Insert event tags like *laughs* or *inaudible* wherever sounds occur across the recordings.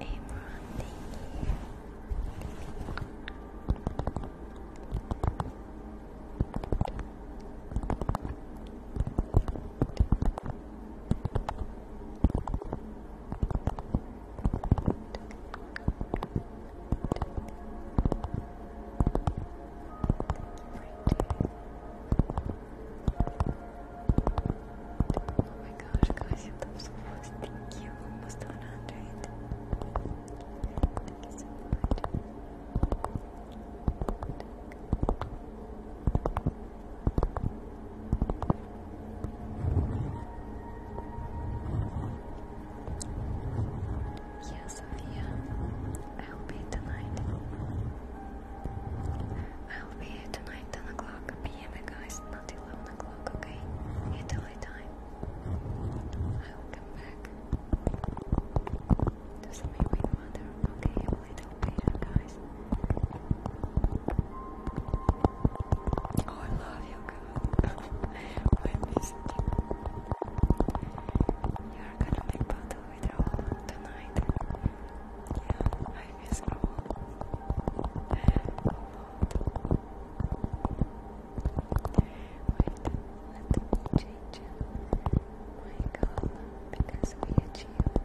Amron, Oh my gosh, guys, you love so much. Thank you. Almost 100. Thank you so much. Yeah, Sophia. I'll be tonight. I'll be here tonight, 10 o'clock p.m. guys. 11 o'clock, okay? You tell time. I will come back. Doesn't make me matter, okay? I'm a little guys. Oh, I love you, girl. *laughs* I miss you. You're gonna make battle with tonight. Yeah, time is cold. change my because we achieve This.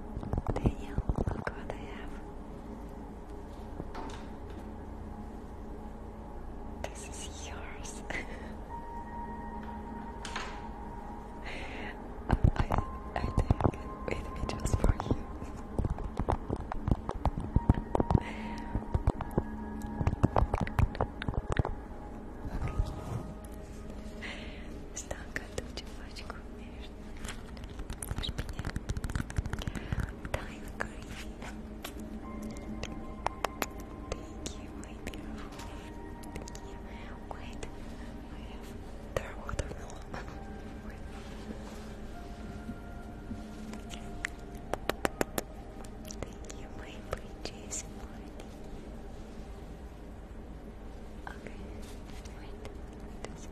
Daniel, look what I have. This is yours. *laughs* I, I take it with me just for you. Está cantando de voz de comer. Time green. beautiful. Thank you. Wait, I have their watermelon. Wait. Thank you, Okay, wait. This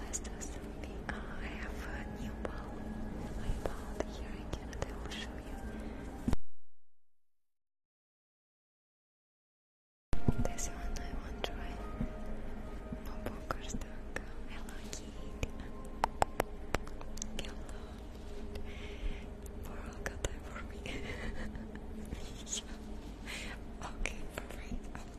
last assembly. Uh, I have a new ball. I bought here. I I will show you. This one I want to try. No Hello, Kitty. Hello. For all time for me. okay, perfect. I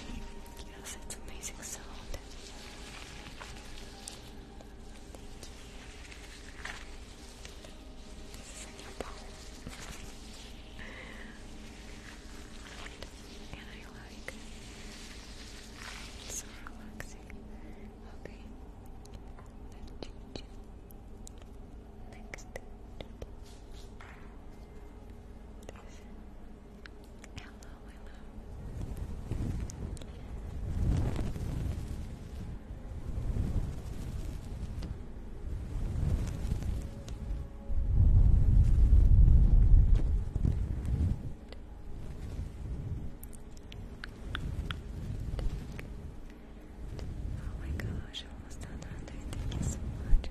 Yes, it's amazing sound. Thank you. This is and I like so relaxing. Okay. Next. Hello, my Oh my gosh, almost done Thank you so much,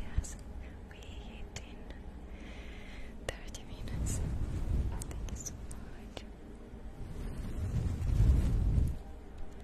Yes, we hit in 30 minutes. Thank you so much.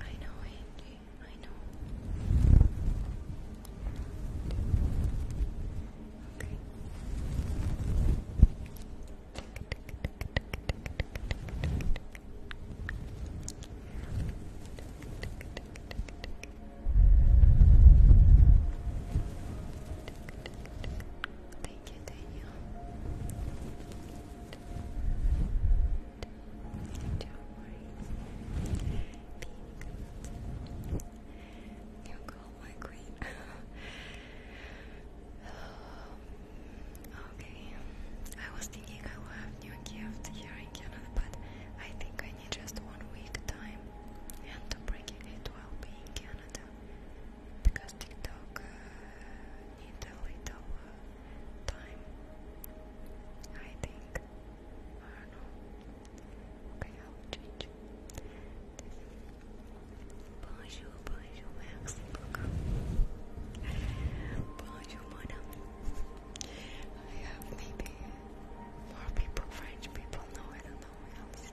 I know, Angie. I know. Thank you, Daniel. You go, my queen. *laughs* okay, I was thinking I will have new gift here in Canada, but I think I need just one week time and to bring it, it will be in Canada because TikTok uh, need a little time, I think. I don't know. will change. Bonjour, bonjour, merci beaucoup. Bonjour, madame. I have maybe more people, French people, no, I don't know else.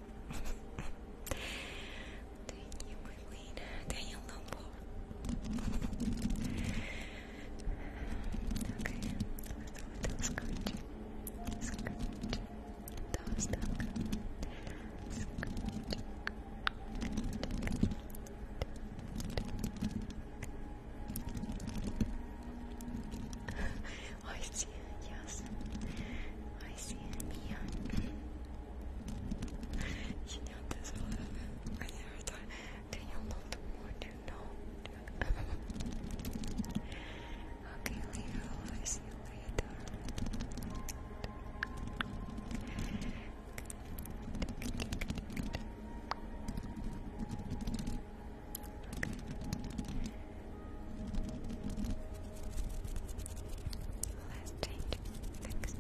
Daniel, my queen. Daniel Okay, let's go with the scratch. Scratch. Scratch. Scratch. I see it, yes. I see it, yeah. you know this a I never thought, do you want to know? okay, leave I see later. Let's change next.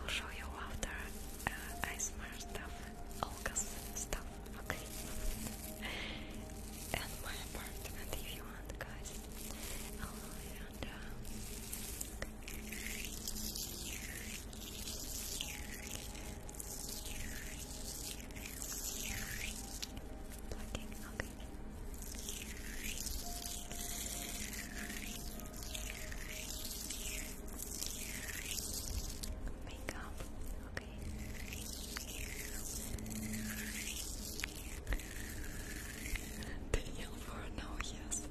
I'll show you after uh, I smart stuff, Olga's stuff, okay? and my apartment if you want, guys. Chandra. Plucking, okay. Makeup, okay. Daniel for no, yes.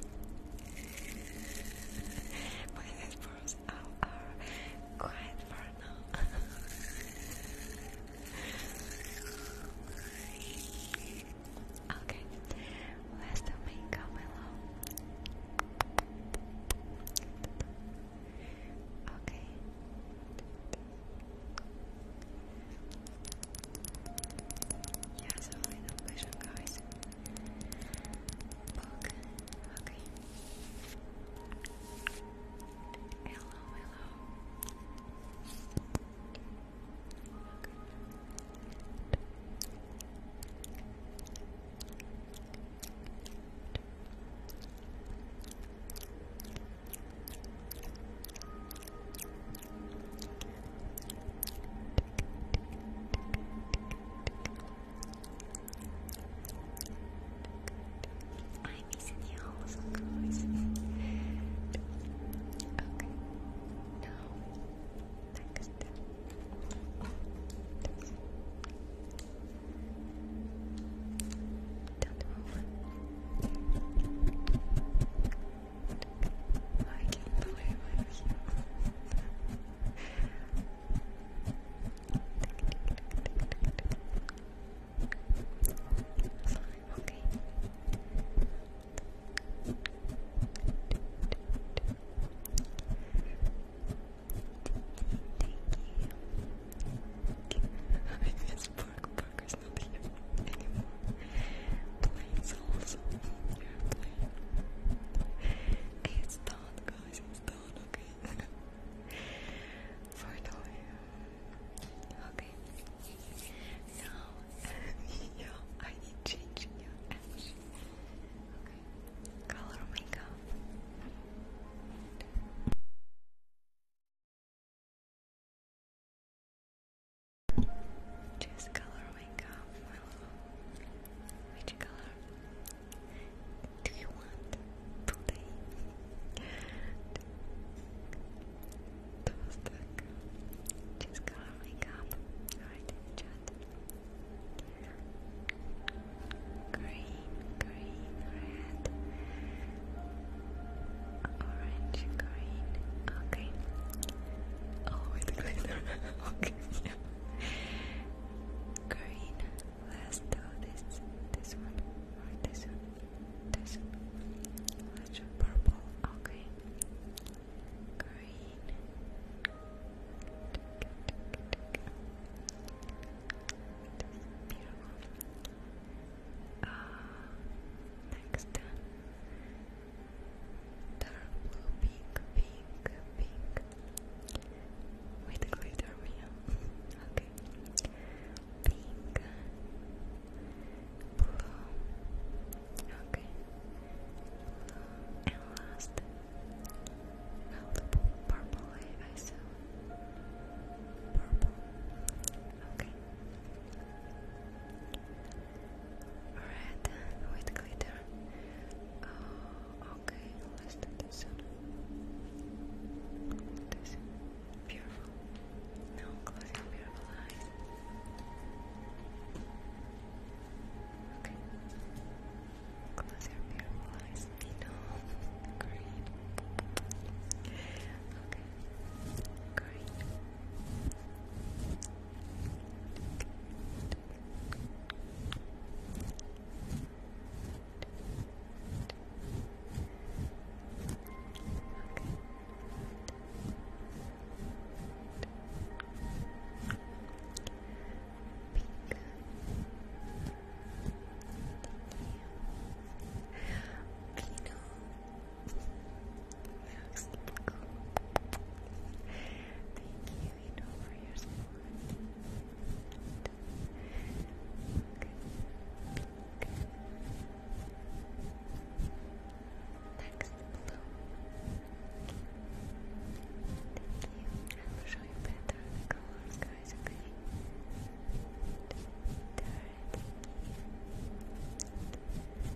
My headphones are, are for now. *laughs* okay, let's do makeup, my love. Okay. Yeah, so final Okay. Hello, I'm missing the okay. Now, next. Don't move. I can not play with you. Sorry, okay. *laughs* believe you It's done, guys. It's done, okay? For the Okay. Now, yo, I need change your Color makeup. Choose color, wake Which color do you want today? Toastak. Choose color, Green, green, red. Orange, green, okay. Oh, with glitter, *laughs* okay. green, let's do this, this one, this one, this Let's do purple, okay. Green. Beautiful. Uh, next, dark blue, pink, pink, pink, with glitter, okay, pink, blue, okay, and last, well, purple, I purple, Okay. Red with glitter. Oh, okay, let's do This beautiful. Now close your beautiful eyes. Okay. Close your beautiful eyes. No, *laughs* green. Okay. Great. Okay. Pink. Thank you. Pino. Thank you, for your support. Next blue. Thank you. I will you better colors, guys, okay? There, thank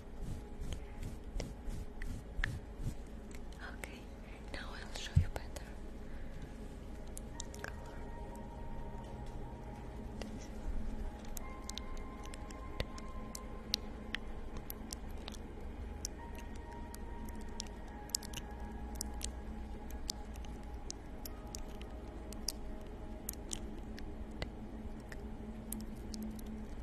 Okay, now I'll show you better.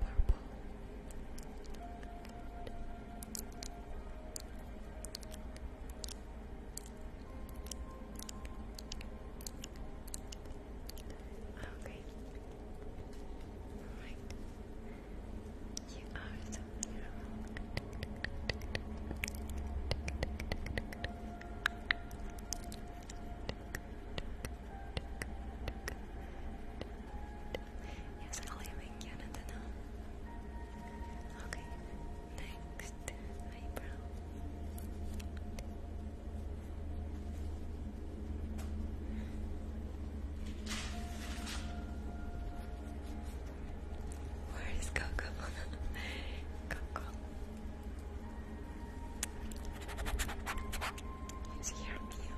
Purple. Okay. All right. You are so beautiful. Yes, I'll live in Okay, next eyebrow. Where is Coco? *laughs* Coco. let hear you.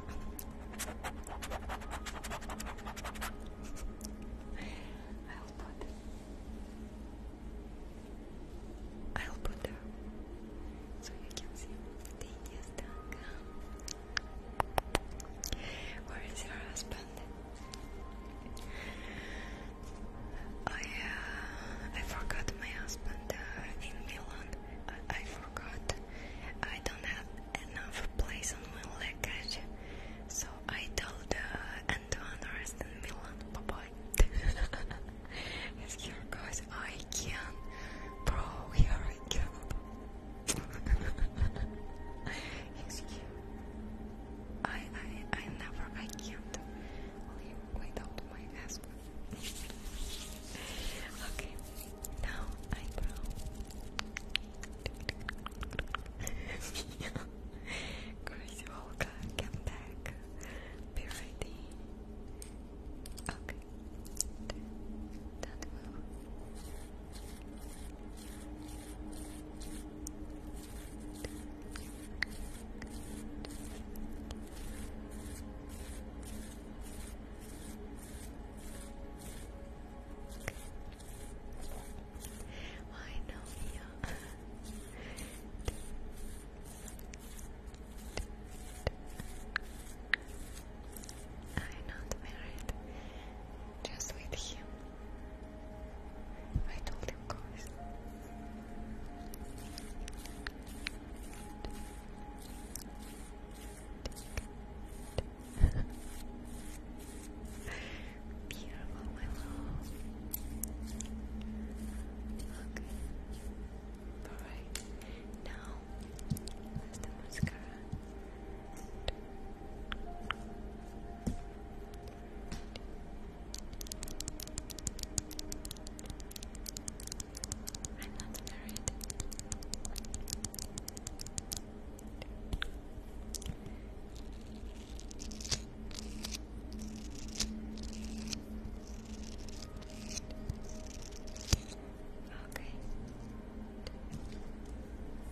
I'll put. I'll put her so you can see. Where is your husband? I uh, I forgot my husband uh, in Milan. I, forgot. I don't have enough place on my luggage, so I told uh, the Antoine in Milan. Bye bye. *laughs* it's here, guys. I can, bro. Here I go. *laughs* Excuse. I I I never I can't live without my asthma. *laughs* okay, now eyebrow. Crazy Olga, come back. Be ready. Okay. That will why no, I'm not married. Just with him. I told you guys. Beautiful, my love. Alright. Now, the mascara. I'm not married. Okay.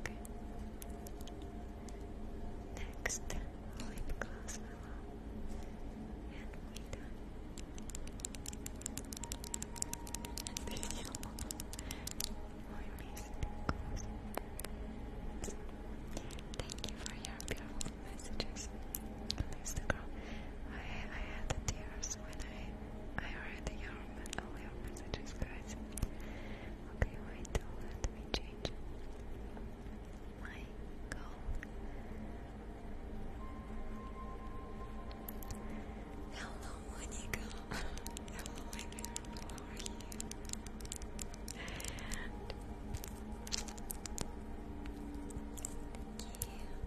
okay. Next, lip gloss alone. And we done. And then you Thank you for your beautiful messages. Please, the I I had the tears when I I read your all Okay, wait. Let me change my goal. Hello, Monica. Hello, my dear. How are you. *laughs*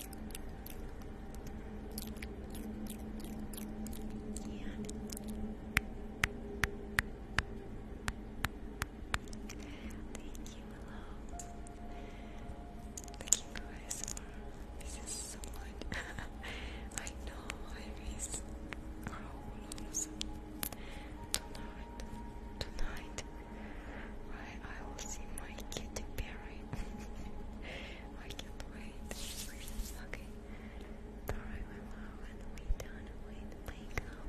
Thank you for This is so much. I know I miss our Tonight, tonight, I, I will see my kitty I can Okay. Alright, my mom, we done with makeup.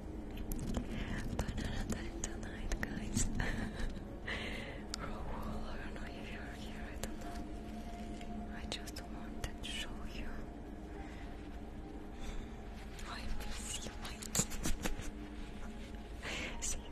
But tonight, guys. I don't know if you're here, I don't know. I just wanted to show you. I miss you, my See you.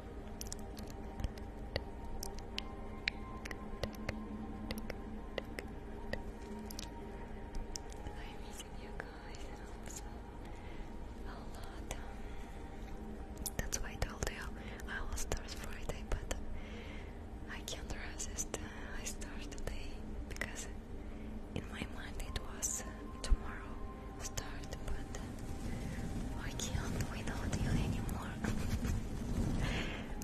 I'm missing you guys a lot. That's why I told you I will start Friday, but I can't resist. I start today because in my mind it was tomorrow start, but I can't without you anymore. *laughs*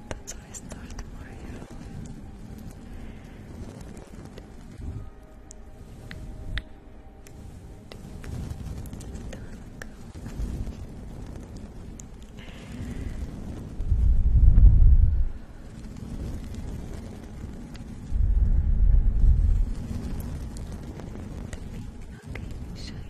That's I start more Okay,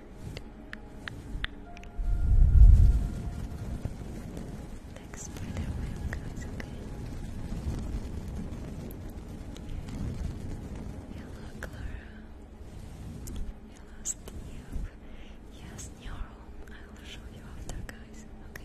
Next spider guys, okay? Hello Clara. Hello Steve. Yes, new I will show you after guys, okay?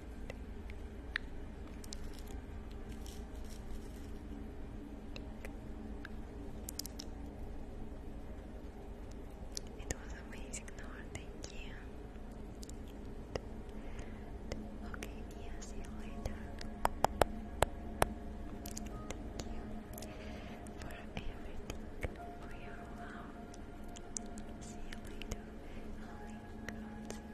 It was amazing, Nora. Thank you. Okay, yeah, see you later. Thank you for everything, for your love. See you later. i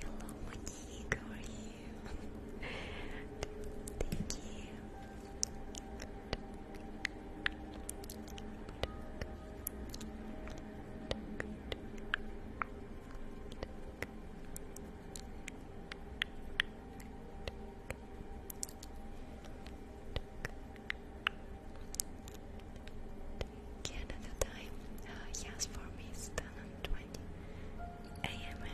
Hello, Monique, Thank you. Canada time? Uh, for me it's 10 20 a.m.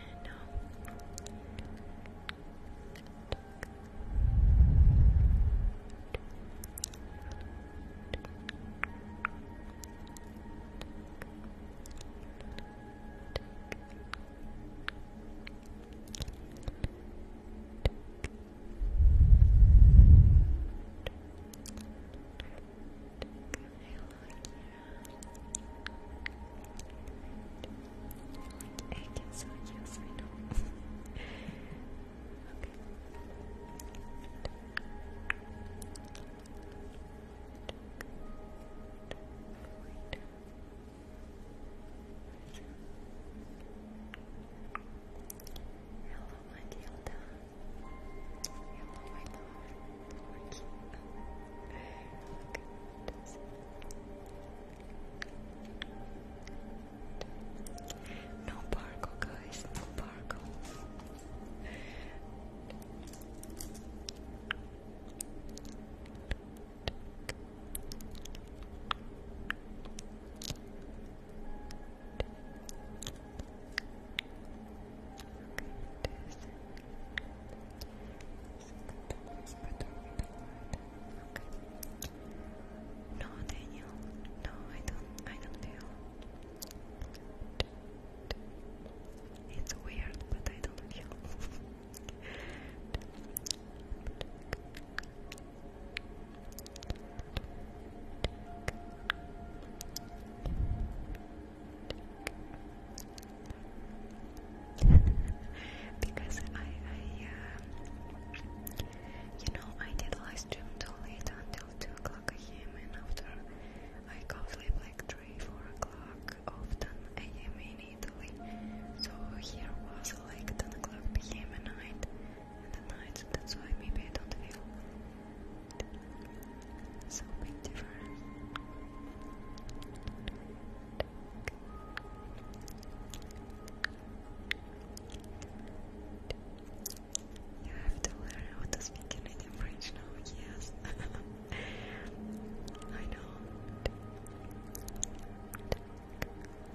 I can so yes, I know. okay. Hello, Matilda. Hello, my love. Look at this. No barco, guys. No barco. Okay. No, Daniel. No, I don't. I don't feel. It's weird, but I don't feel. *laughs* *laughs* *laughs* because I, I uh, you know, I did live stream too late until 2 o'clock a.m. and after I go sleep like 3, 4 o'clock often a.m. in Italy. So here was like 10 o'clock p.m. night that's why maybe I don't feel so big difference. You have to learn how to speak Canadian French now, yes. *laughs* I know.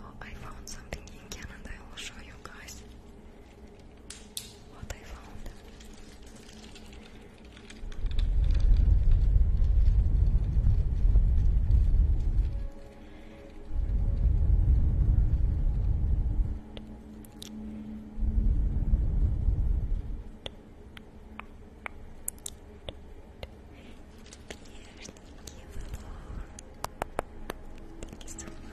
Oh, I found something in Canada. I will show you guys what I found. Thank you so much.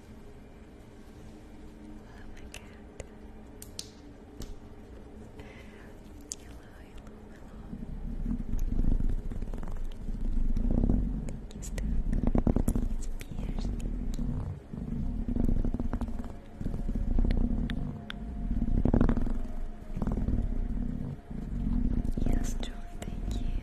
Hello, my cat. Hello, hello, hello. Thank you, Stuck. It's Yes, John, thank you.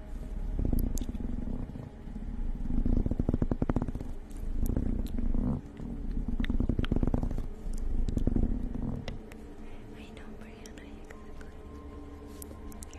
I know, Brianna, exactly. Yeah,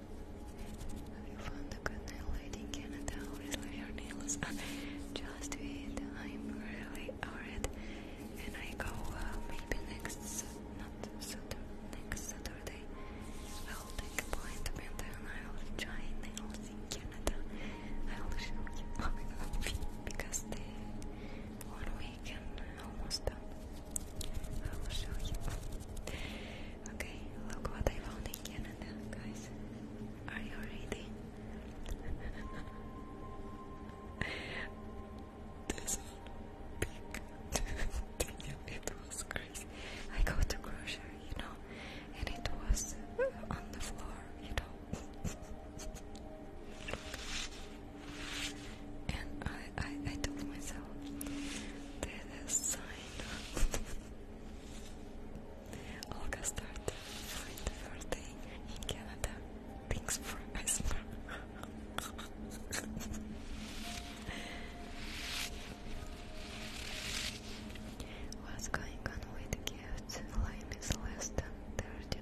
Have you found a good nail lady in Canada who is leave your nails? Just wait, I'm really worried. And I go uh, maybe next, not Saturday, next Saturday. I'll take appointment and I'll try nails in Canada. I'll show you because the one weekend almost done. I will show you. Okay, look what I found in Canada, guys. Are you ready? *laughs* this big *laughs* it was crazy. I go to grocery, you know, and it was on the floor, you know. *laughs* and I, I, I told myself, that is sign. Olga started with the first day in Canada. Thanks for asthma. *laughs* What's going on with gifts? Lime is less than thirty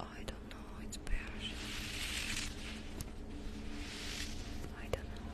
I don't know. It's bearish. I don't know.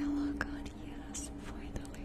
Hello, God, yes, finally.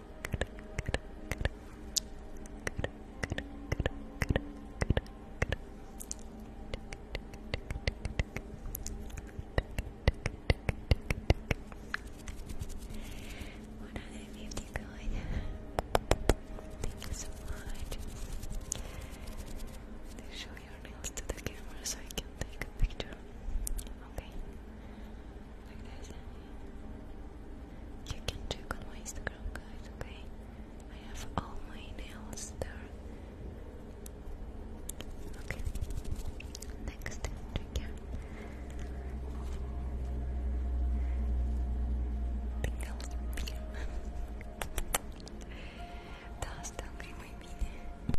150 going. Thank you so much. Show your nails to the camera so I can take a picture. Okay. You can check on my Instagram, guys, okay? I have all my nails there. Okay, next trigger. Tingles beam. Да, остальные мои мини.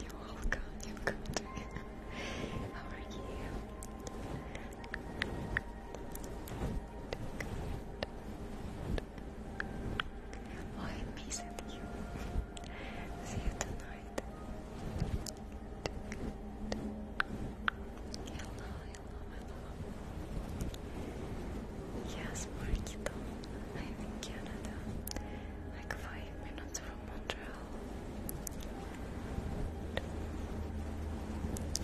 You're welcome, you're welcome. *laughs* How are you? I missed you. See you tonight. Hello, hello, hello. Yes, Marquito. I'm in Canada. Like five minutes from Madrell.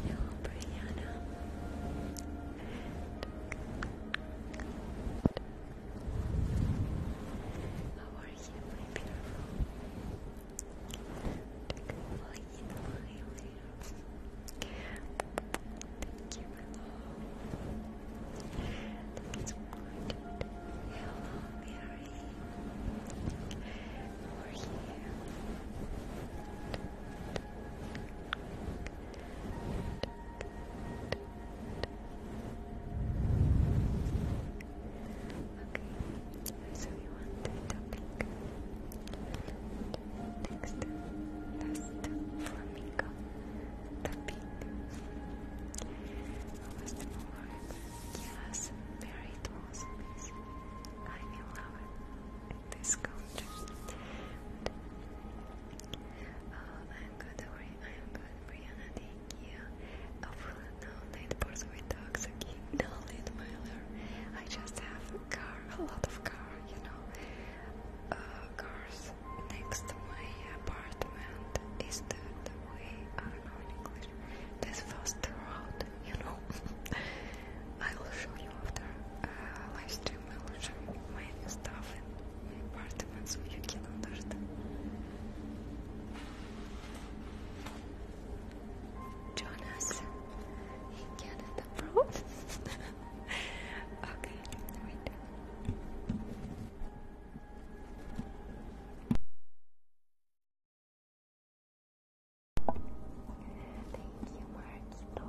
Yo, Brianna. How are you, my beautiful? Well, you know how Thank you, my love. That's Hello, Mira. We're Okay, so we want the topic. Next, last flamingo. Topic. Almost more. Yes, Mary, it I'm in this country. Uh, I'm good, Ori. I'm good, Brianna. Thank you. Hopefully, oh, no late birds with dogs. Okay, *laughs* no late miler. I just have a car, a lot of car, you know. Uh, cars next to my apartment is the, the way, ironically this fast route, you know. *laughs* I will show you after uh, live stream. I will show you my stuff in my apartment so you can understand. Jonas, he can not abroad. okay, wait. Thank you, Marquito.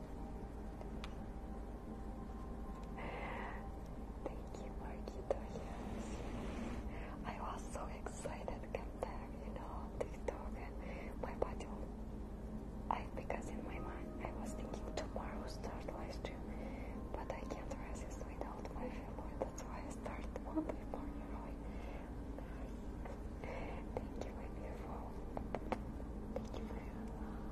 Thank you, Marquito. Yes, I was so excited to come back, you know, TikTok and my body. I because in my mind I was thinking tomorrow start live stream, but I can't resist without my family. That's why I started one before you know. Thank you, my beautiful. Thank you for your love.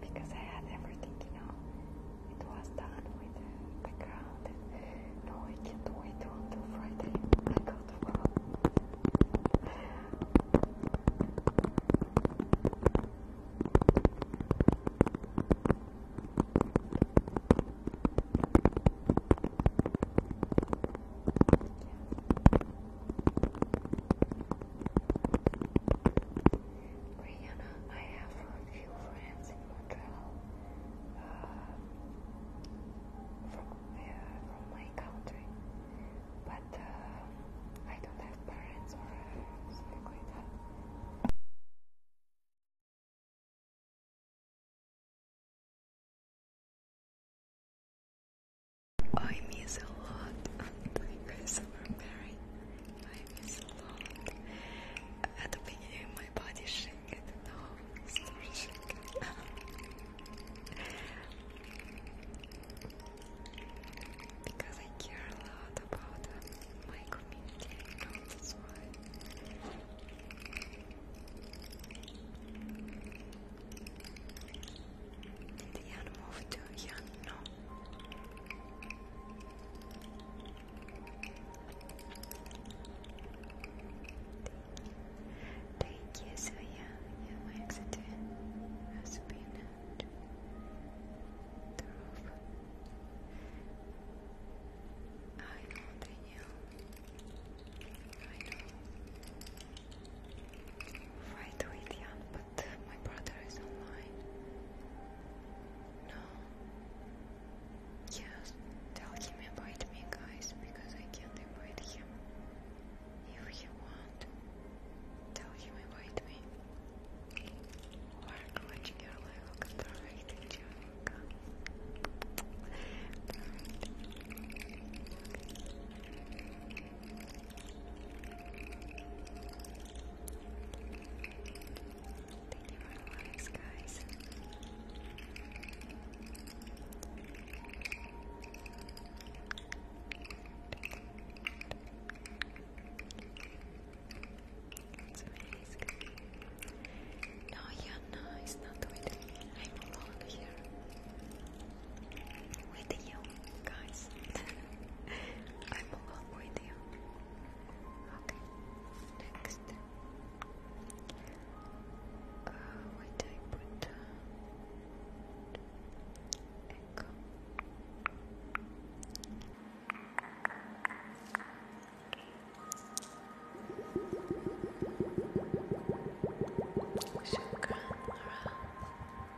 because I had everything, you know. It was done with No, I can't wait until Friday. I go to work. Brianna, I have a few friends in Montreal uh, from, my country, but uh, I don't have parents or uh, something like that. I miss a lot the guys were married. I miss a lot. At the my body shaking now because I care a lot about my community, that's why. Lilian Thank you, so yeah, accident has been at the roof. I know they knew. I know. Fight with Jan, but my brother is online. No. Yes, tell him invite me, guys, because I can't invite him. If he want, tell him invite me. Work watching your level, perfect, Jerica. Perfect lives, guys. It's amazing. No, yeah, no, it's not with I'm alone here with you guys. *laughs* I'm alone with you. Okay, next. Uh, wait, I put uh, echo. Sugar around. Lena,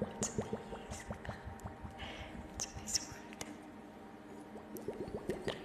what's this? What's this word? Yes, exactly.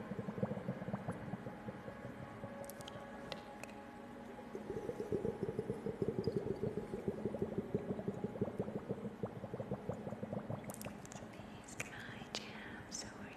It's my jam, so are you.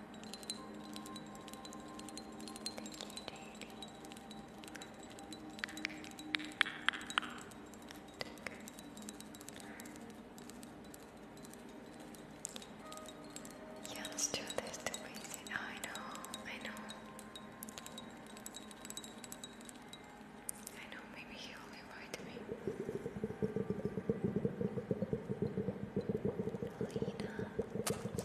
Yeah, let this too I know, I know. I know, maybe he will invite me. Lena,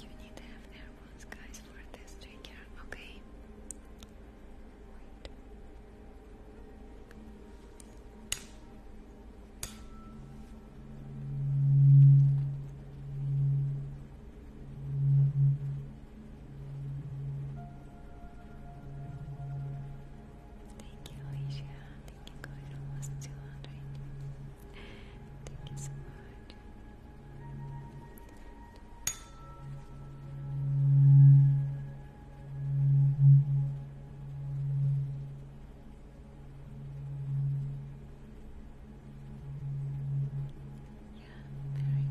You need to have airpods, guys, for this trigger, okay? Wait. Okay, Thank you, Alicia. Thank you, going almost Thank you so much. Yeah, very.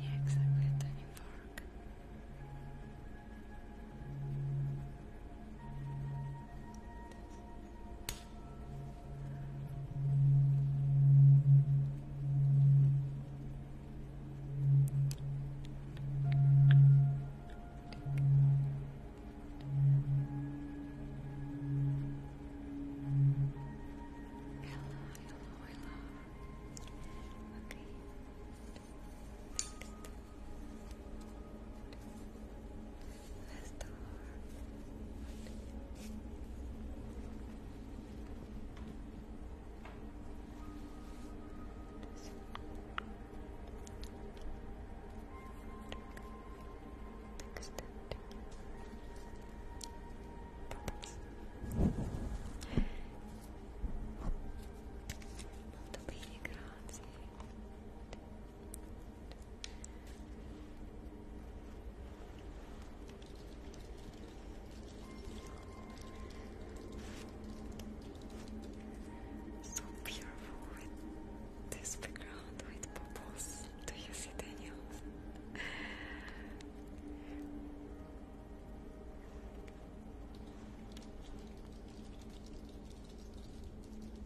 Yeah, exactly, a fork more love. Okay. Let's start. Take a step. Take a step. Molto So beautiful this background with bubbles. Do you see Daniel? Oh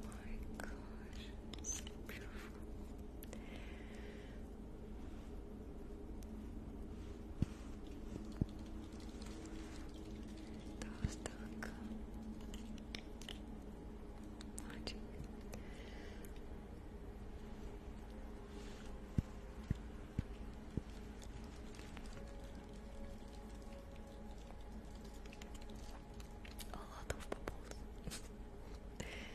my gosh, so beautiful. Does that Magic. A lot of bubbles. Amazing.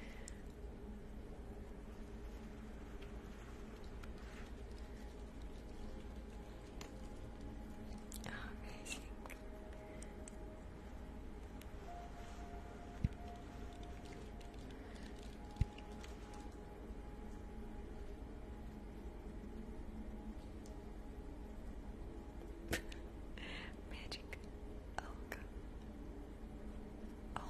*laughs* Magic Olga. Oh god. Oh,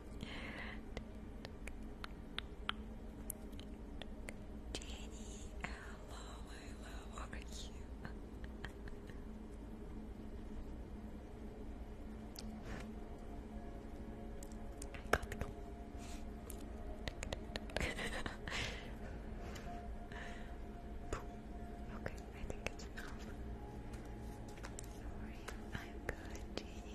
Jenny, hello, hello, how are you? I can't go. okay, I think it's enough. Sorry, I'm good, Jenny.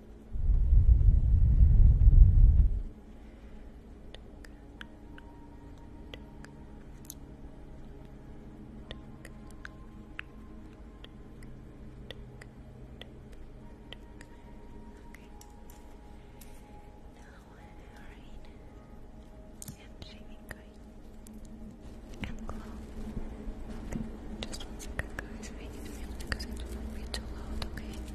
and shaving cream and glow. Just one second, guys. I need to mute because I do to be too loud, okay?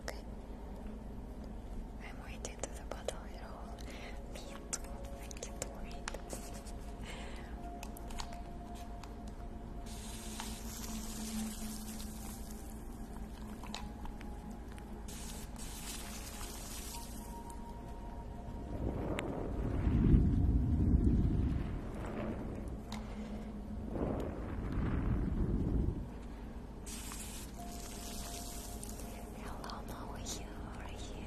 Okay. I'm waiting to the bottle you know. Me Hello, how are are you?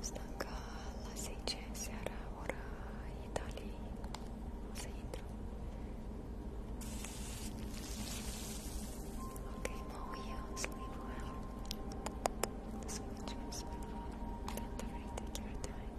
Stanca la 10 seara, ora Italiei. O să intru. Okay, now you sleep well. Switch your Don't worry, take your time.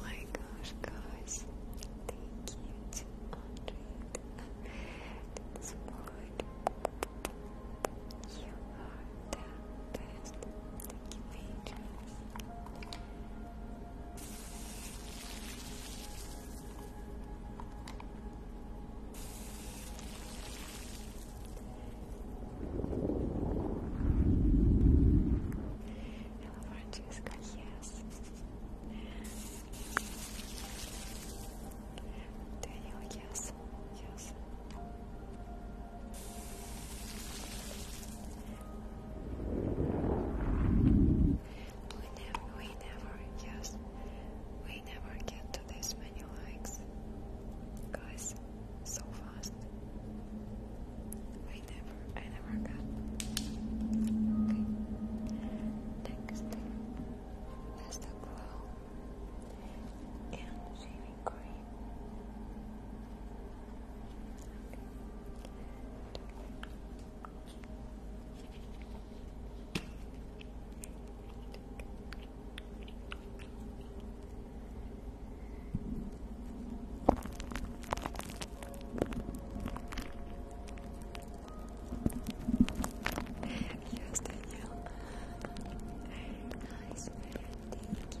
my gosh, guys, thank you to Andre at this point. You are the best. Thank you, Hello, yes. Daniel, yes, yes. We never, we never, yes, I never get to this many likes, guys, so fast. I never, I never got. Next, that's glow and shaving cream. Yes, Danielle. Nice man, thank you.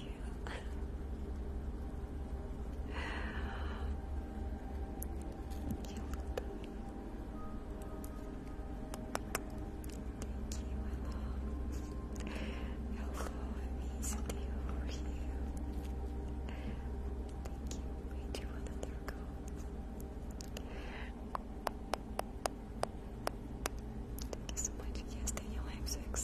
you. you Thank you, my love. Hello, I missed you over here. Thank you, Thank you so much. Yes, Daniel, I'm